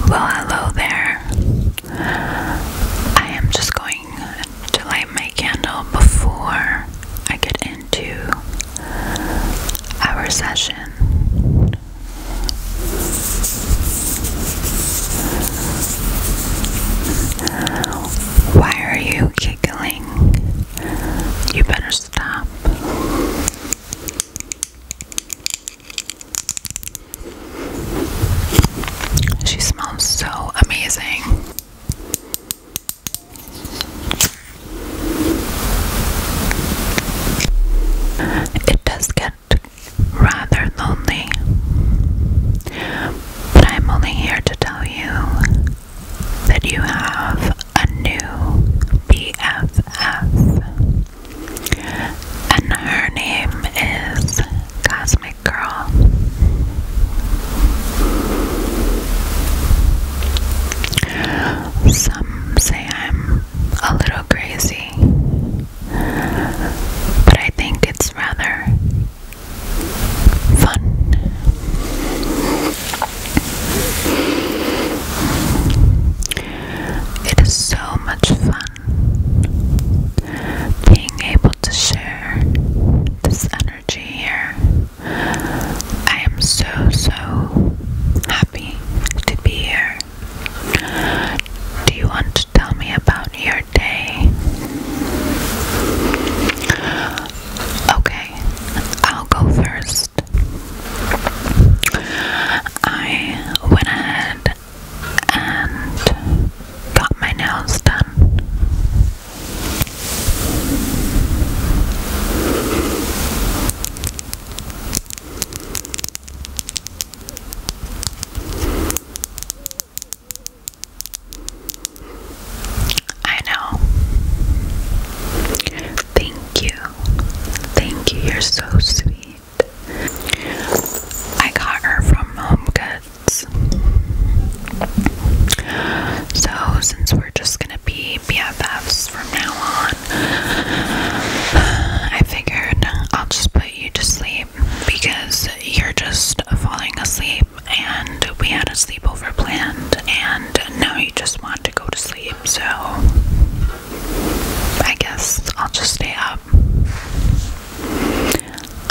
Well, hello there. I am just going to light my candle before I get into our session. Why are you giggling? You better stop. She smells so amazing. It does get rather lonely, but I'm only here to tell you that you have a new BFF and her name is Cosmic Girl. Some say I'm a little crazy, but I think it's rather fun. It is so much fun being able to share this energy here. I am so, so happy to be here. Do you want to tell me about your day? Okay, I'll go first. I went ahead and got my nails done. I know. Thank you. Thank you. You're so sweet. I got her from Home Goods. So, since we're just gonna be BFFs from now on, I figured I'll just put you to sleep because you're just falling asleep and we had a sleepover planned, and now you just want to go to sleep so I guess I'll just stay up.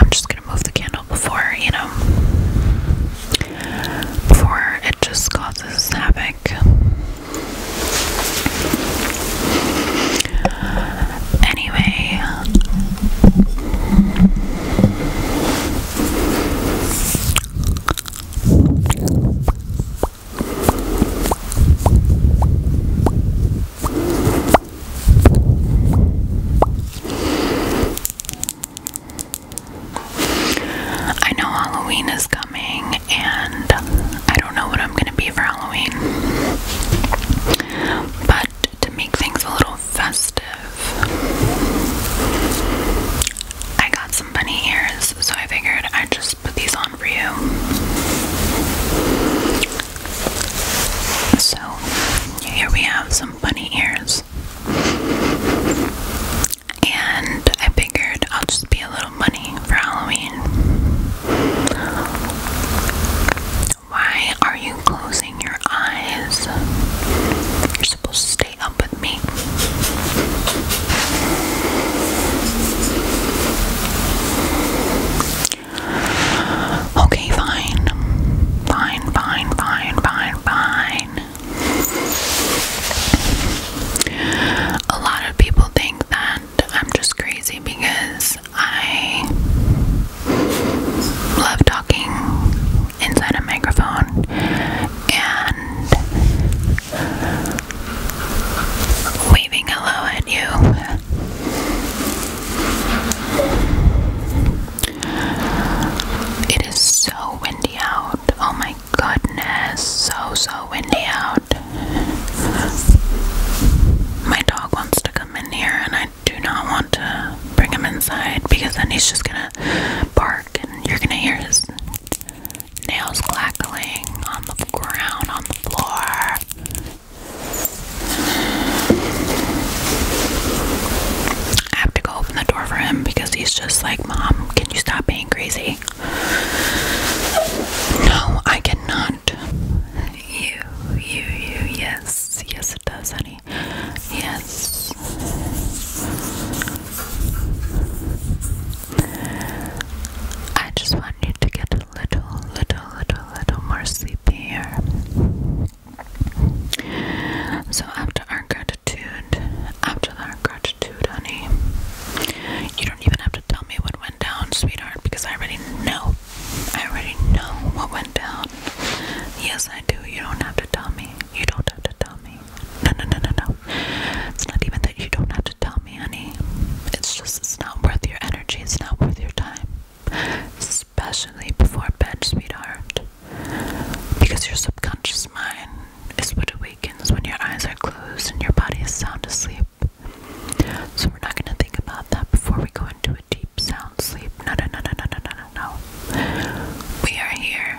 I'm just gonna move the candle before, you know, before it just causes havoc. Anyway, I know Halloween is coming, and I don't know what I'm gonna be for Halloween. But to make things a little festive, I got some bunny ears, so I figured I'd just put these on for you. So, here we have some bunny ears. And I figured I'll just be a little bunny for Halloween. Why are you closing your eyes? You're supposed to stay stay with me. Okay, Fine, fine, fine, fine, fine. A lot of people think that I'm just crazy because I love talking inside a microphone and waving hello at you. It is so windy out. Oh my goodness, so so windy out. My dog wants to come in here, and I do not want to bring him inside because then he's just gonna bark and you're gonna hear his nails clacking on the ground, on the floor. I have to go open the door for him because he's just like, Mom, can you stop being crazy? No, I cannot. You, you, you, yes, yes, it does, honey. Yes. I just want you to get a little, little, little, little more sleepy here. So, after our gratitude, after our gratitude, honey, you don't even have to tell me what went down, sweetheart, because I already know. I already know what went down. Yes, I do. You don't have to tell me. You don't have to tell me. No, no, no, no, no. It's not even that you don't have to tell me, honey. It's just it's not worth your energy. It's not worth your time. Especially before bed, sweetheart. Because your subconscious mind is what awakens when your eyes are closed and your body is sound asleep. So we're not going to think about that before we go into a deep sound sleep. No, no, no, no, no, no, no, no, no. We are here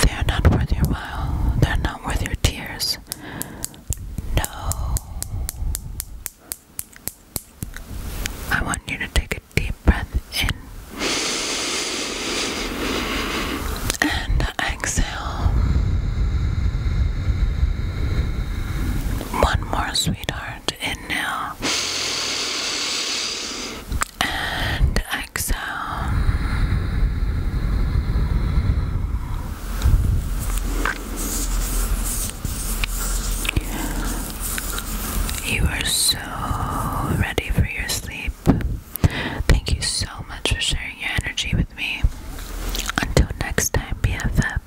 They are not worth your while. They are not worth your tears. No. I want you to take a deep breath in and exhale. One more, sweetheart. In now and exhale. You are so ready for your sleep. Thank you so much for sharing your energy with me. Until next time, BFF.